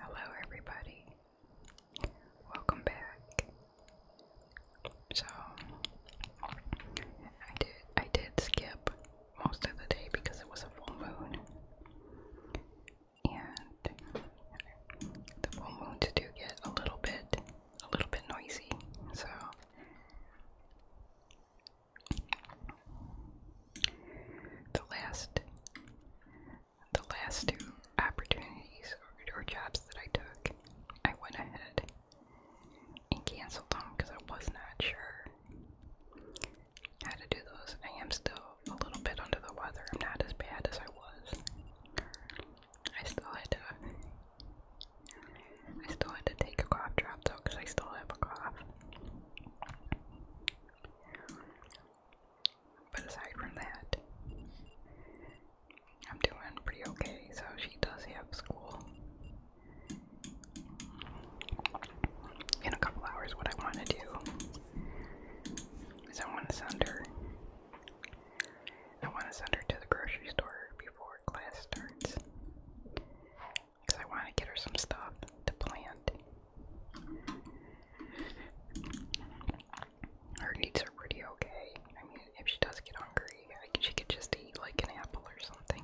Hello, everybody. Welcome back. So, I did skip most of the day because it was a full moon, and the full moons do get a little bit a little bit noisy. So. The last the last two opportunities or, or jobs that I took, I went ahead and canceled them because I was not sure how to do those. I am still a little bit under the weather. I'm not as bad as I was. I still had to. I still had to take a cough drop though, because I still have a cough. But aside from that, I'm doing pretty okay. So she does have school in a couple hours. What I want to do is I want to send her. I want to send her to the grocery store before class starts because I want to get her some stuff to plant her needs are pretty okay. I mean, if she does get hungry, she could just eat like an apple or something.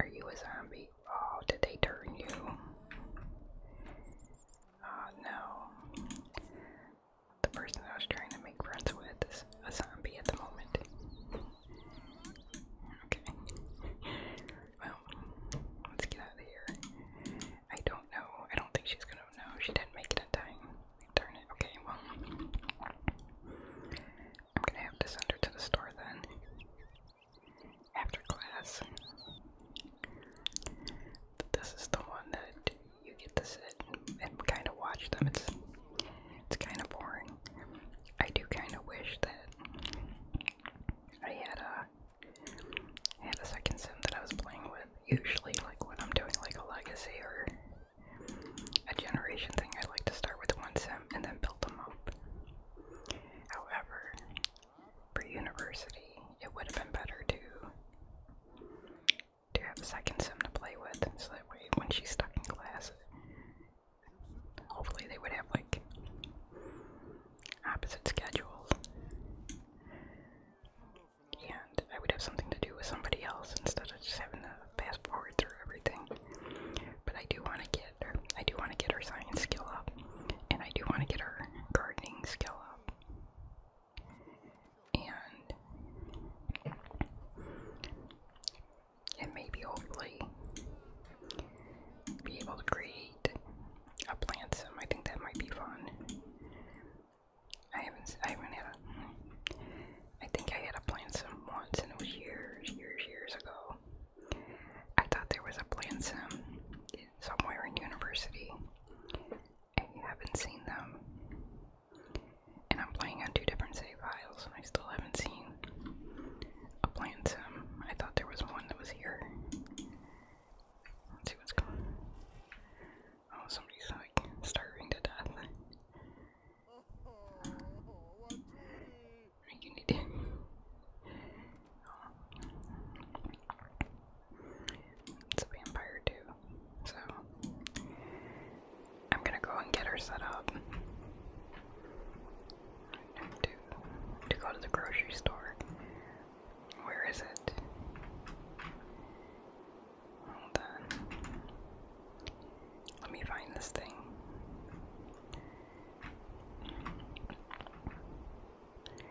Are you a zombie? Oh, did they turn you? Oh, no. The person I was trying to make friends with is a zombie at the moment. Okay. well, let's get out of here. I don't know. I don't think she's gonna know. She didn't make it in time. Turn it. Okay, well, I'm gonna have to send her to the store then. After class. This is the one that you get to sit and kind of watch them. It's it's kind of boring. I do kind of wish that I had a had a second sim that I was playing with. Usually, like when I'm doing like a legacy or a generation thing, I like to start with one sim and then build them up. However, for university, it would have been better to to have a second sim to play with, so that way when she's stuck in class, Hopefully, they would have like opposite schedules, and I would have something to do with somebody else instead of just having to fast forward through everything. But I do want to get her. I do want to get her science skill up, and I do want to get her gardening skill up. And and maybe hopefully be able to create a plant sim. I think that might be fun. I haven't, I haven't had a, I think I had a plant sim once and it was years, years, years ago. I thought there was a plant sim somewhere in university. and I haven't seen them and I'm playing on two different save files, and I still haven't seen a plant sim. I thought there was one that was here. Let's see what's going on. Oh, somebody's like starving to death. You need to. It's a vampire too, so I'm gonna go and get her set up to, go to the grocery store. Where is it? Hold on. Let me find this thing.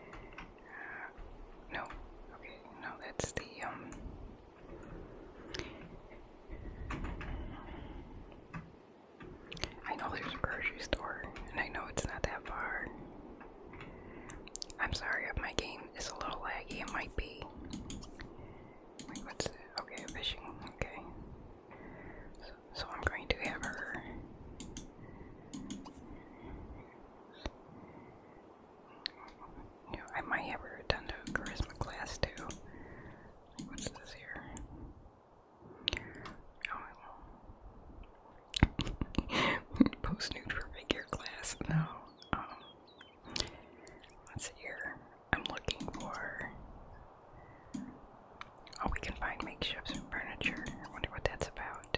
Uh, no, okay, no, that's the um I know there's a grocery store, and I know it's not that far. I'm sorry if my game is a little laggy, it might be. what's Okay, fishing, okay. So, I'm going to have her. You I might have her attend a charisma class too. What's this here? Oh, Post nude figure class. No. Um. here. I'm looking for. Oh, we can find makeshifts and furniture. I wonder what that's about.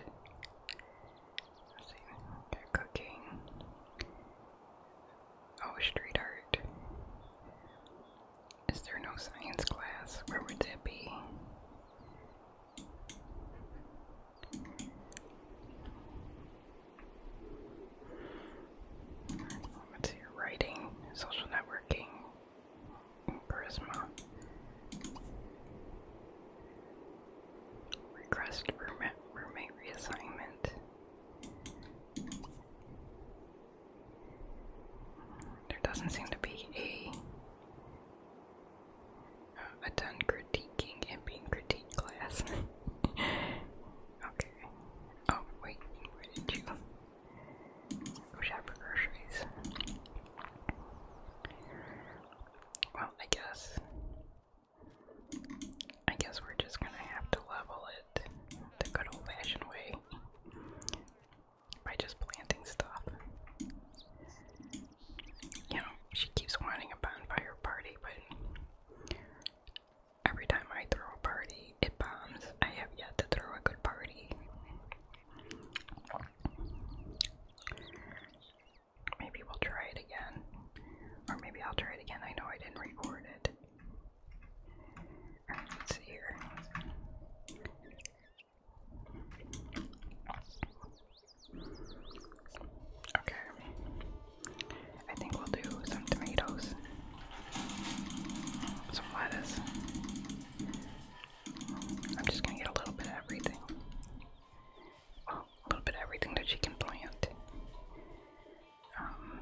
cooking. Oh, street art. Is there no science class? Where would that be? Let's see, writing, social networking, charisma. Request roommate, roommate reassignment. There doesn't seem to be a uh, a done critiquing and being critiqued class. okay. Oh wait, where did you go shop for groceries? Well, I guess I guess we're just gonna have to level it the good old fashioned way by just planting stuff. You know, she keeps wanting a bonfire party, but every time I throw a party, it bombs. I have yet to throw a good party. Maybe we'll try it again. Or maybe I'll try it again. I know I didn't record it. Let's see here. Okay. I think we'll do some tomatoes, some lettuce. I'm just gonna get a little bit of everything. Well, a little bit everything that she can plant. Um,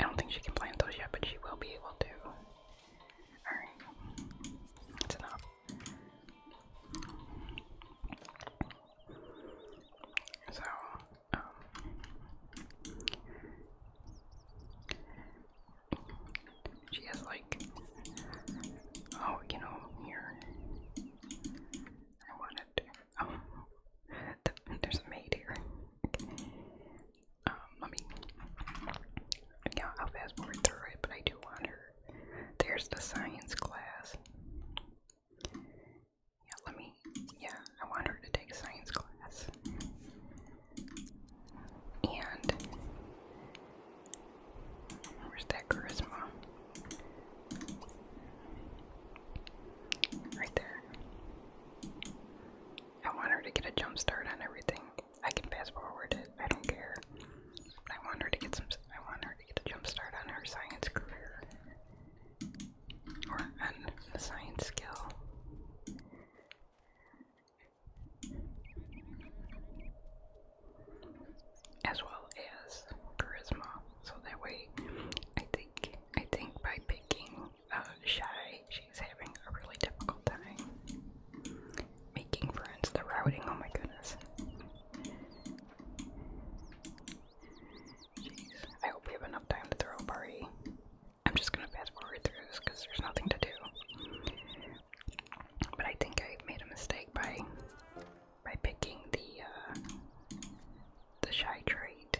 I don't think she can plant those yet, but she will be able to. Alright, that's enough. So, um, she has like, oh, you know, here. I wanted to, oh, there's a maid here. Um, let me, yeah, I'll fast forward through it, but I do want her. There's the science class. Yeah, let me, yeah, I want her to take science class. And Where's that charisma? Right there. I want her to get a jump start on everything. I can fast forward it. I don't care. I want her to get some. I want her to get a jump start on her science career or on the science skill as well as charisma. So that way, I think I think by picking uh, shy, she's having a really difficult time making friends. The routing, oh my goodness. Jeez, I hope we have enough time to throw a party. I'm just gonna fast forward through this because there's nothing to do. But I think I made a mistake by by picking the uh, the shy trait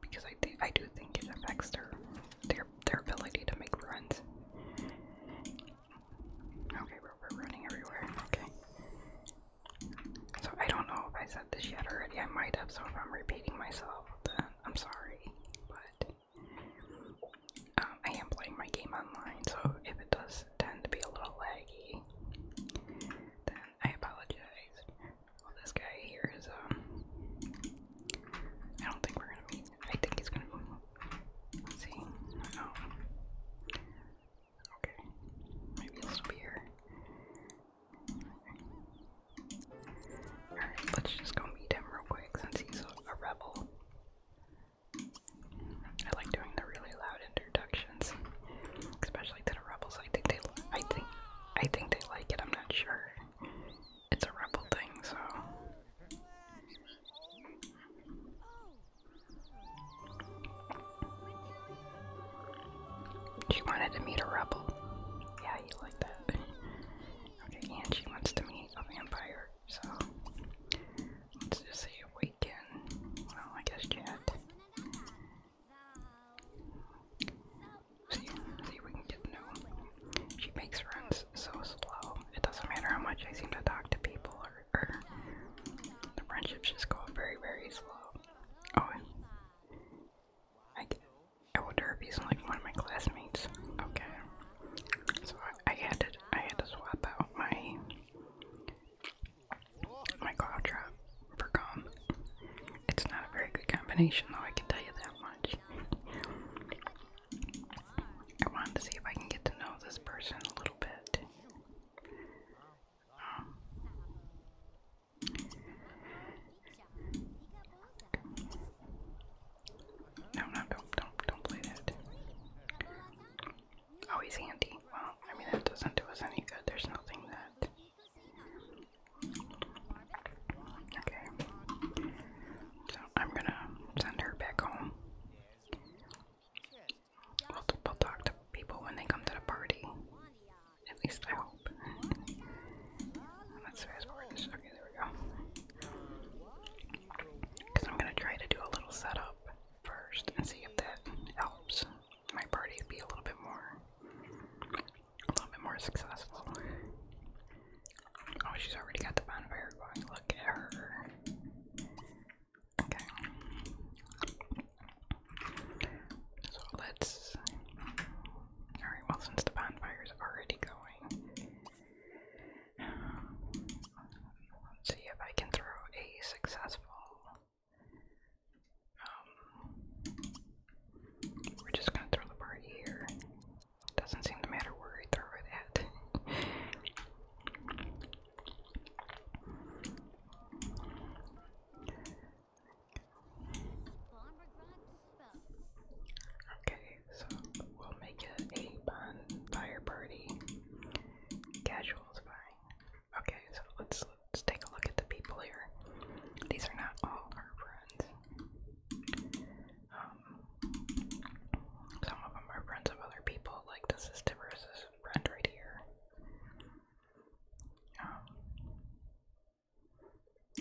because I I do think it affects their their their ability to make friends. Okay, we're, we're running everywhere. Okay. So I don't know if I said this yet already. I might have. So if I'm repeating myself, then I'm sorry. But um, I am playing my game online, so if it does tend to be a little laggy, then I apologize. this guy here is, um, I don't think we're gonna meet. I think he's gonna meet. Let's oh. Okay. Maybe he'll still be Alright, let's just go meet him real quick since he's a rebel. I like doing the really loud introductions, especially to rebels. I think they, I think, I think they like it. I'm not sure. It's a rebel thing, so. She wanted to meet a rebel. Yeah, you like that. Okay, and she wants to meet a vampire, so Let's just see if we can. Well, I guess can't. See, see if we can get no. She makes runs so slow. It doesn't matter how much I seem to talk to people, or, or the friendships just go very, very slow. Oh, I, I wonder if he's like one of my classmates. Okay, so I had to I had to swap out my my claw for gum. It's not a very good combination though, I can tell you that much. I wanted to see if I can get to know this person a little bit. Um, no, no, don't, don't, don't play that. Oh, handy. Well, I mean, that doesn't do us any good. There's nothing that. Okay. So I'm gonna send her back home. We'll, talk to people when they come to the party. At least I hope. That's fast forward. Okay, there we go. Because I'm going to try to do a little setup first and see if that helps my party be a little bit more, a little bit more successful. Oh, she's already got the bonfire going. Look at her. Okay. So let's. Alright, well, since the bonfire's already going, see if I can throw a successful. Um, we're just gonna throw the bar here. Doesn't seem to matter where I throw it at. okay, so we'll make it a bonfire party. Casual is fine. Okay, so let's let's take a look at the people here. These are not all our friends. Um, some of them are friends of other people. Like this is Tiburus's friend right here. Um,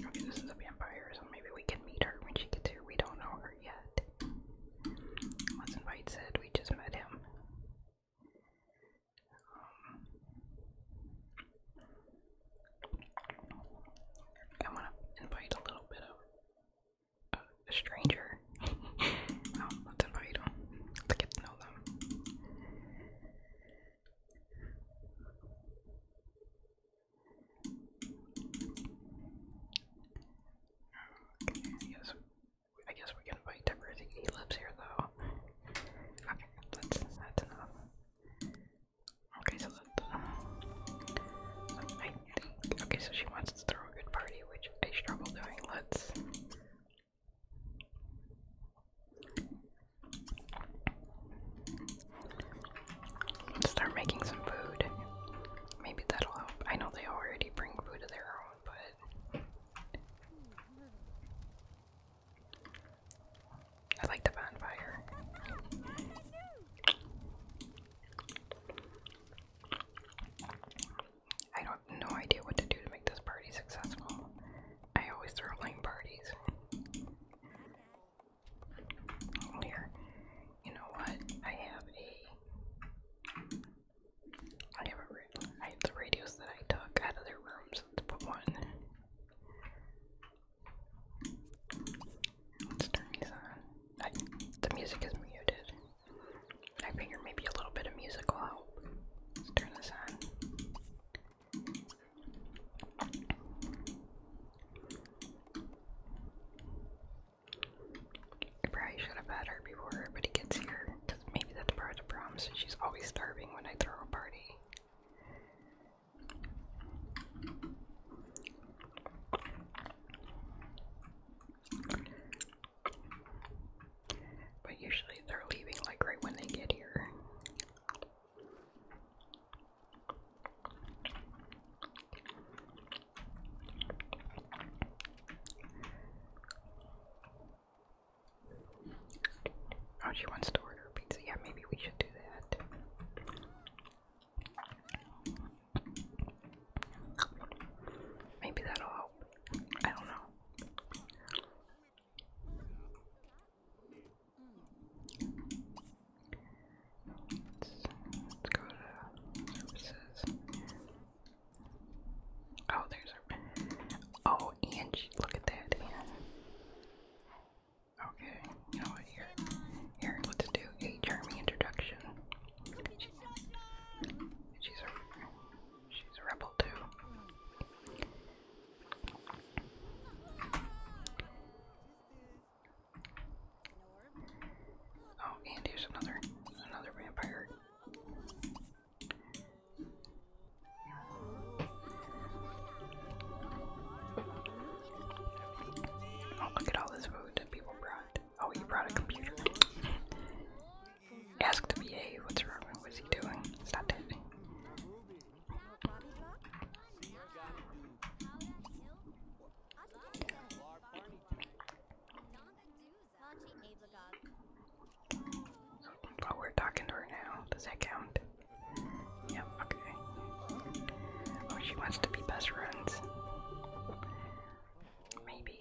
okay, this is a vampire, so maybe we can meet her when she gets here. We don't know her yet. Wasn't right said, we just met him. Um, I want to invite a little bit of a stranger. Um, let's invite them. let get to know them. I guess we can fight everything he lives here though. Okay, that's that's enough. Okay, so that's uh, okay, so she wants to throw a good party, which I struggle doing. Let's start making some food. Maybe that'll help. I know they already bring food to their own, but I like the bonfire. I don't no idea what to do to make this party successful. I always throw lame parties. Here, you know what? I have a I have the radios that I took out of their rooms. Let's put one. Let's turn these on. the music is muted. I figure maybe a little bit of music will help. Let's turn this on probably should have had her before everybody gets here, maybe that's part of the problem, she's always starving when I throw a party. But usually they're leaving like right when they get here. Oh, she wants to order pizza. Yeah, maybe we should do that. Maybe that'll help. I don't know. Let's, go to services. Oh, there's her. Oh, and look at that. okay, you know what? Here, here, let's do a Jeremy introduction. she's a she's a rebel too. Oh, and here's another another vampire. Oh, look at all this food that people brought. Oh, he brought a computer. Ask the VA what's wrong. What's he doing? Stop it. But we're talking to her now. Does that count? Yep, okay. Oh, she wants to be best friends. Maybe.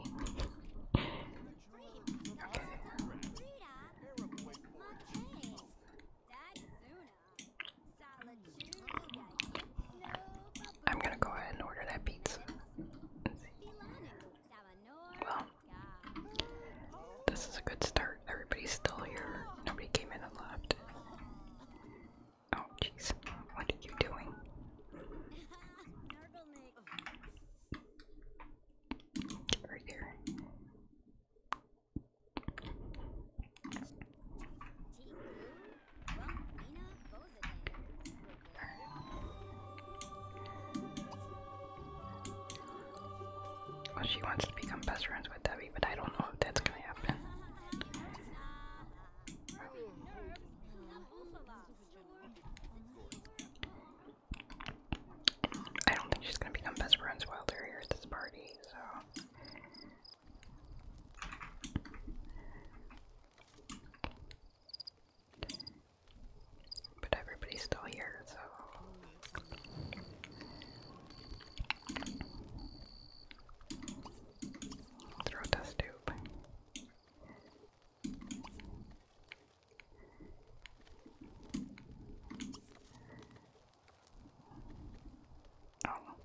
I'm gonna go ahead and order that pizza. Well, this is a good start. Everybody's still here. Nobody came in and left. Oh, jeez. What are you doing? right there. Well, she wants to become best friends with Debbie, but I don't know if that's gonna happen. I don't think she's gonna become best friends while they're here at this party, so but everybody's still here, so. Throw this tube. Oh,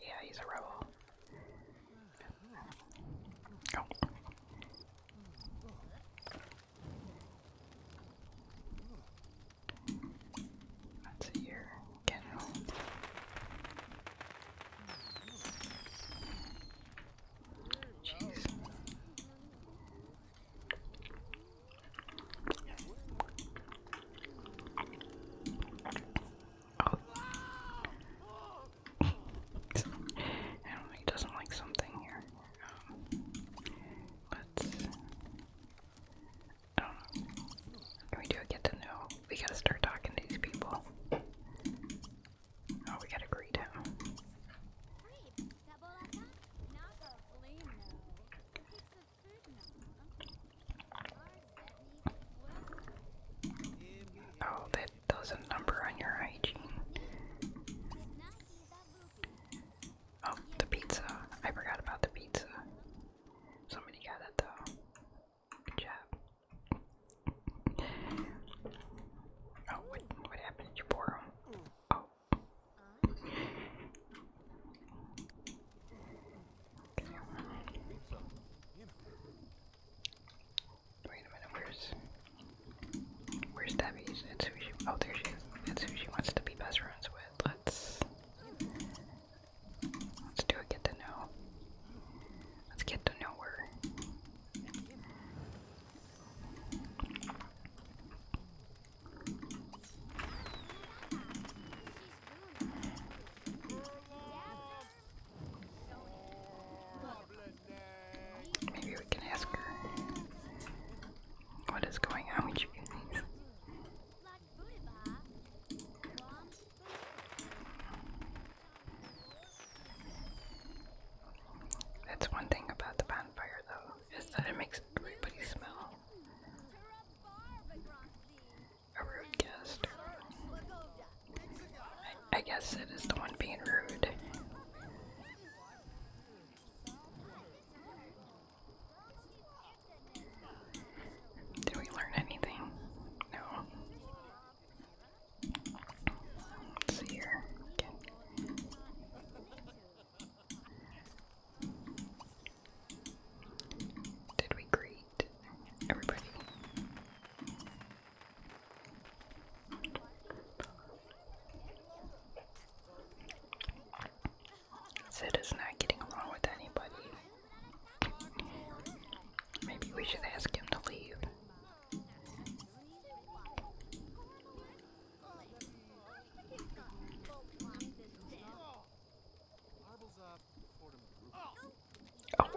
yeah, he's a rebel. Oh. Let's Jeez. Oh. he doesn't like something here. Um, but I don't know. we do get to know? We gotta start talking to these people. Oh, we gotta greet him. Oh, that does a number on your hygiene. Oh, the pizza. I forgot about the pizza. Somebody got it though. Good job. Oh, what, what happened? Did you pour Oh, Wait a minute, where's where's Debbie's? It's who she oh there she is. It's who she wants to be best friends with. Let's let's do a get to know. Let's get to know her. Maybe we can ask her what is going on That's one thing about the bonfire, though is that it makes everybody smell a rude guest. I, guess it is the one being rude. Did we learn anything? No. here. Did we greet everybody? Sid is not getting along with anybody. Maybe we should ask him to leave. Oh,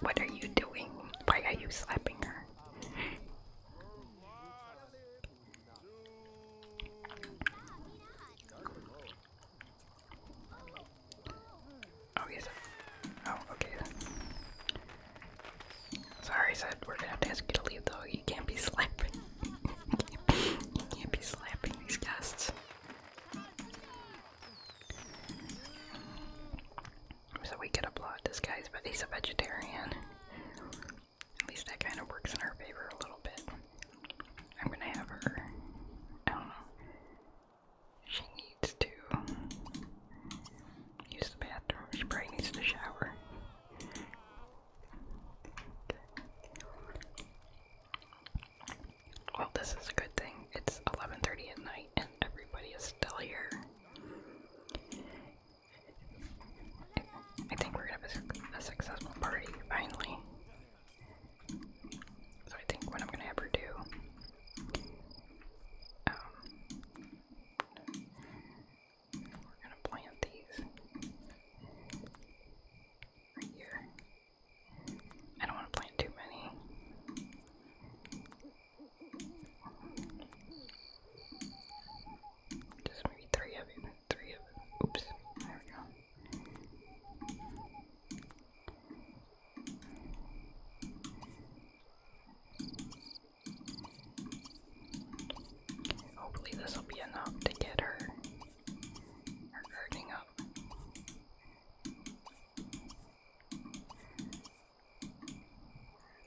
what are you doing? Why are you slapping her? Oh yes. Oh, okay Sorry, said we're gonna have to ask you to leave though. You can't be slapping. you, can't, be slapping these guests. So we could applaud this guy's, but he's a vegetarian. At least that kind of works in our favor a little bit. I'm gonna have her. I don't know. She needs to use the bathroom. She probably needs to shower. Well, this is a good thing. It's 11:30 at night and everybody is still here. I think we're gonna have a, successful party finally. So I think what I'm gonna have do. Um, we're gonna plant these right here. I don't want to plant too many. Just maybe three of it. Three of it. Oops. There we go. Hopefully this will be enough to get her her girding up.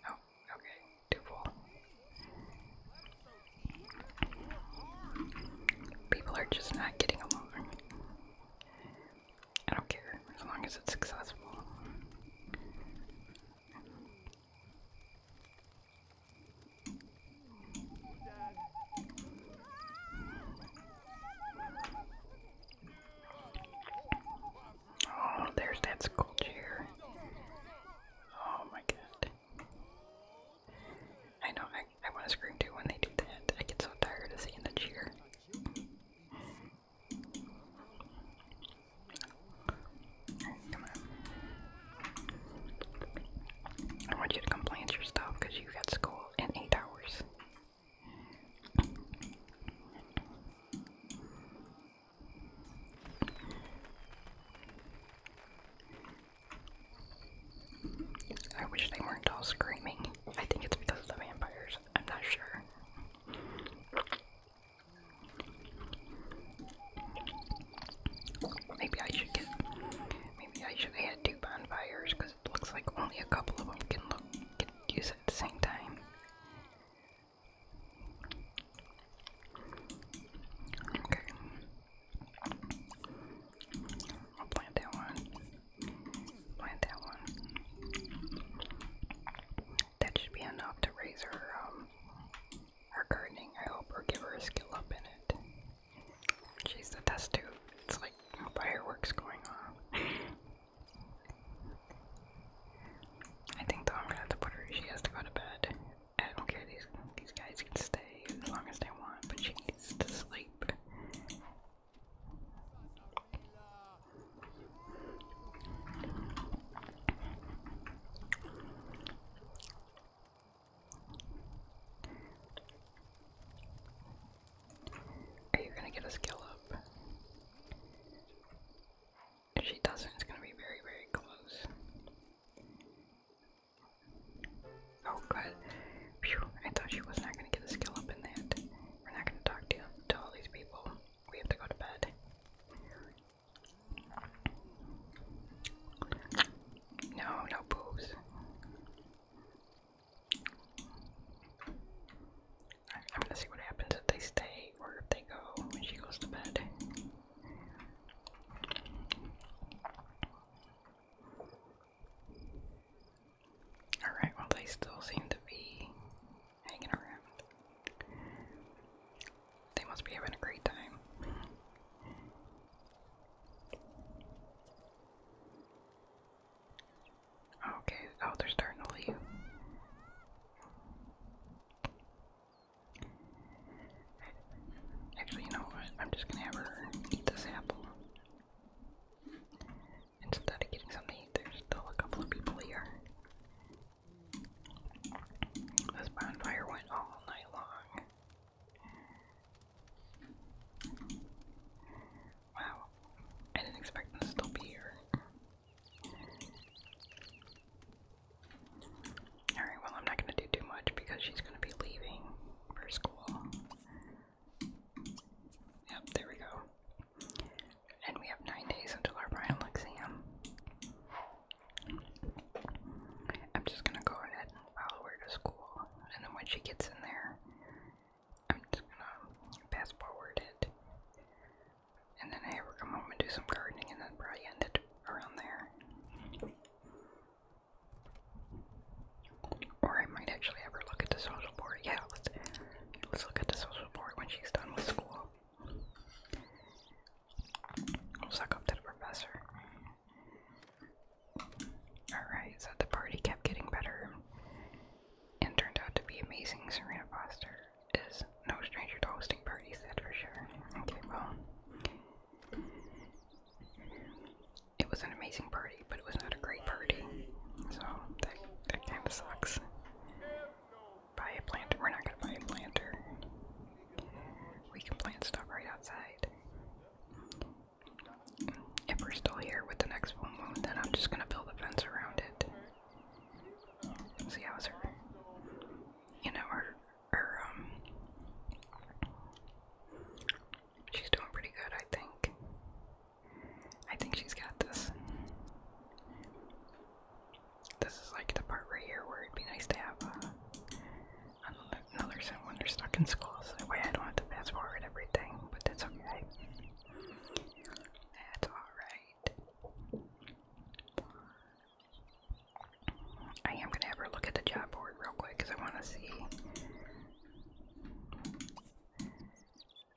Oh, okay, too full. People are just not getting along. I don't care as long as it's successful. Oh, there's that school chair. Oh my god. I know, I, I want to scream too when they do that. I get so tired of seeing the cheer. I want you to come your stuff because you got school in eight hours. I wish they weren't all screaming. I think it's because of the vampires. I'm not sure. Maybe I should get. Maybe I should add two bonfires because it looks like only a couple of them can look can use at the same time. Okay. I'll plant that one. Plant that one. That should be enough to raise her um, her gardening, I hope, or give her a skill up in it. She's the test tube. It's like fireworks going on. I think though I'm gonna have to put her she has to go to bed. I don't care these these guys can stay as long as they want, but she needs to sleep. Are you gonna get a skill If she doesn't, it's gonna be very, very close. Oh good. Phew, I thought she was not gonna get a skill up in that. We're not gonna talk to, to all these people. We have to go to bed. No, no booze. I'm gonna see what happens if they stay or if they go when she goes to bed. Alright, well, they still seem to be hanging around. They must be having a great time. Okay, oh, they're starting to leave. Actually, you know what? I'm just gonna have her eat this apple. Instead of getting something to eat, there's still a couple of people here. This bonfire went all night long. Wow, I didn't expect them to still be here. Alright, well, I'm not gonna do too much because she's gonna be leaving for school. Yep, there we go and we have nine days until our final exam. I'm just gonna go ahead and follow to school, and then when she gets in there, I'm just gonna fast forward it, and then I have come home and do some gardening, and then probably end it around there. Or I might actually have look at the social board. Yeah, let's let's look at the social board when she's done with school. Suck up to the professor. Alright, so the party kept getting better and turned out to be amazing. Serena Foster is no stranger to hosting parties, that for sure. Okay, well, it was an amazing party, but it was not a great party, so that kind of sucks buy a planter. We're not gonna buy a planter. We can plant stuff right outside. If we're still here with the next full moon, then I'm just gonna build a fence around it. See how's her, you know, her, her, um, she's doing pretty good, I think. I think she's got this. This is like the part right here where it'd be nice to have uh, another sim when they're stuck in school, so way I don't have to fast forward everything, but that's okay. That's alright. I am gonna have her look at the job board real quick because I want to see.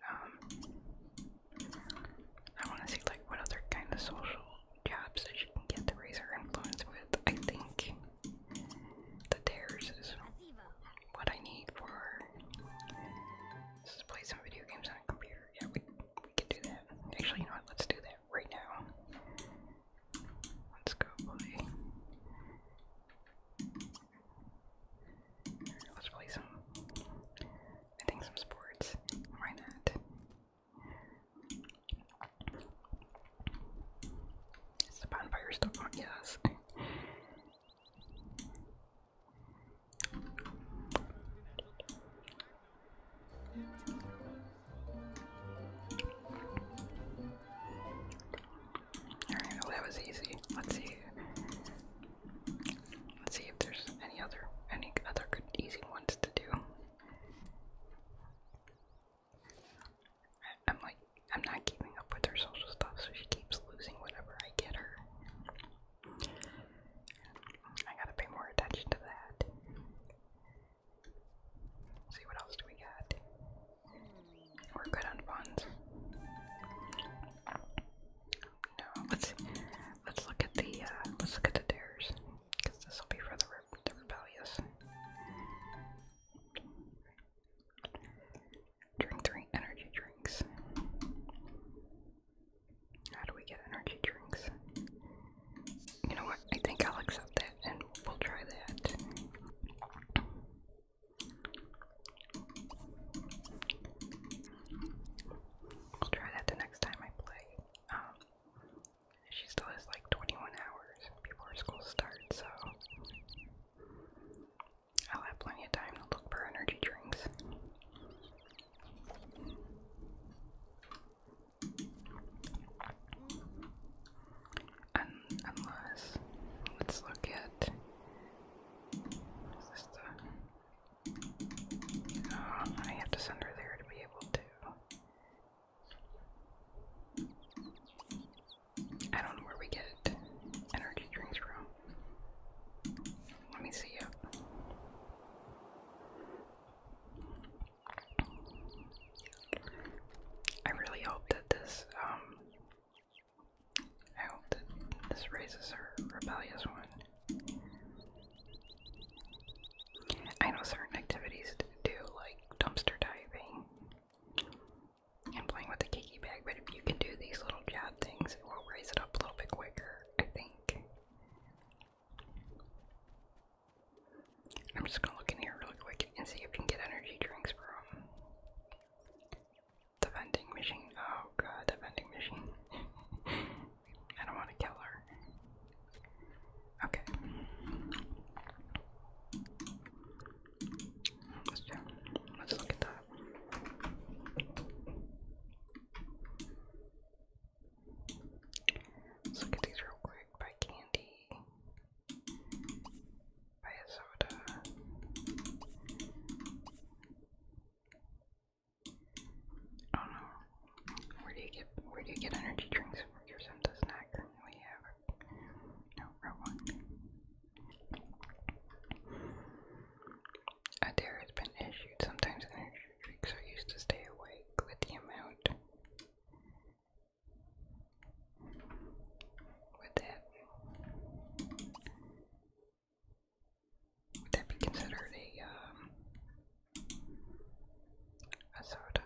Um, I want to see like what other kind of social jobs that you can get to raise her influence with. I think the dares is what I need for. Let's play some video games on a computer. Yeah, we we can do that. Actually, you know what? Let's do that right now. Let's go play. Let's play some I think some sports. Why not? the bonfire still on? Yes. Alright, that was easy. Let's see. Let's see if there's any other any other good easy ones to do. I'm like I'm not keeping up with her social stuff, so she keeps losing whatever I get her. I gotta pay more attention to that. see what else do we got? We're good on funds. No, let's let's look at the uh, let's look at the dares, because this will be for the rebellious. Drink three energy drinks. How do we get energy drinks? You know what? I think I'll accept that, and we'll try that. We'll try that the next time I play. Um, she still has like 21 hours before school starts, so I'll have plenty of time to look for energy drinks. unless, let's look at, is I have to send her there to be able to. I don't know where we get energy drinks from. Let me see I really hope that this, um, I hope that this raises her rebellious one. I know certain activities do, like dumpster diving and playing with the kiki bag, but if you can do these little jab things, it will raise it up a little bit quicker, I think. I'm just gonna look in here really quick and see if you can get energy drinks from the vending machine. Oh god, the vending machine. I don't want to kill her. Okay. Let's check. Let's look at that. Let's look at these real quick by candy. By a soda. I do Where do you get where do you get energy drinks from? Here's some does not have no one. A dare has been issued. Sometimes energy drinks are used to stay awake with the amount. With that would that be considered a um, a soda?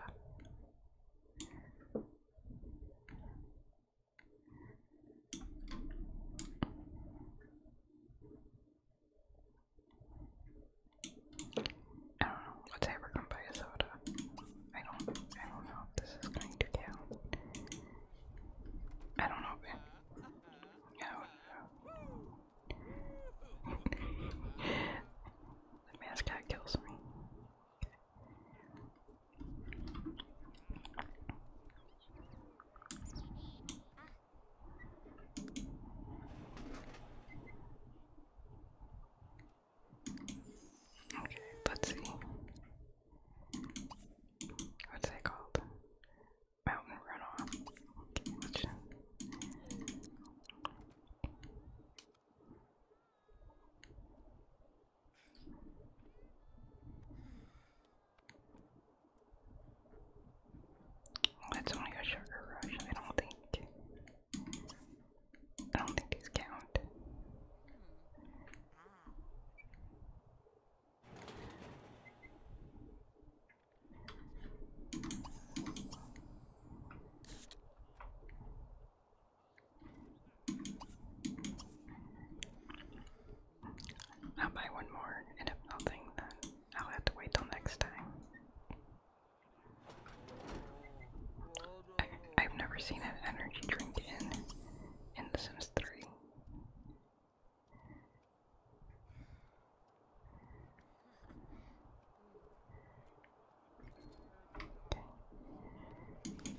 I don't know, let's say we a soda. I don't I don't know if this is going to count. I don't know yeah, the mascot kills me. Okay, let's see. What's that called? that's only a sugar rush. I don't think. I don't think these count. I'll buy more, and if nothing, then I'll have to wait till next time. I've never seen an energy drink in in The Sims 3. Okay.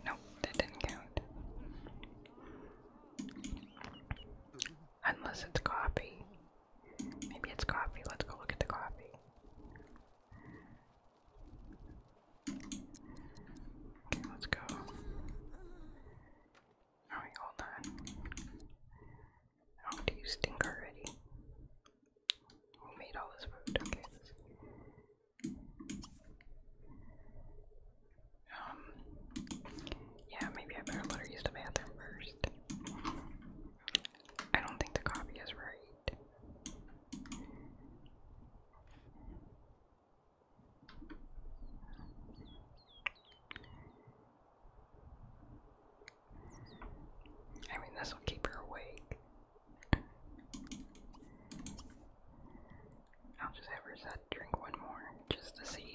Nope, that didn't count. Unless it's coffee. Maybe it's coffee. Let's go look at the coffee. Okay, let's go. Alright, hold on. Oh, do you stink already? Who made all this food? Um, yeah, maybe I better let her use the bathroom first. I don't think the copy is right. I mean, this will keep her awake. I'll just have her set drink one more just to see.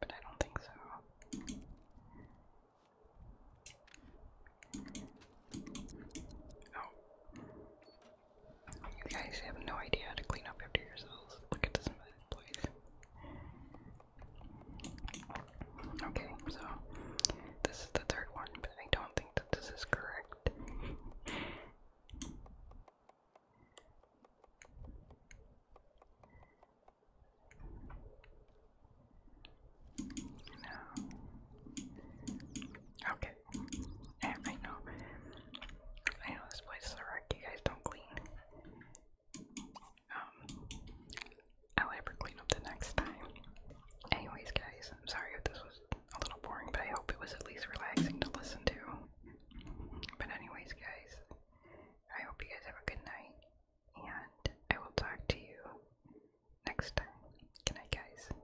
But I don't think so. Oh. You guys have no idea how to clean up after yourselves. Look at this place. Okay, so this is the third one, but I don't think that this is correct. No. Okay. I know. I know this place is a wreck. You guys don't clean. Um, I'll ever clean up the next time. Anyways, guys, I'm sorry if this was a little boring, but I hope it was at least relaxing to listen to. But anyways, guys, I hope you guys have a good night, and I will talk to you next time. Good night, guys.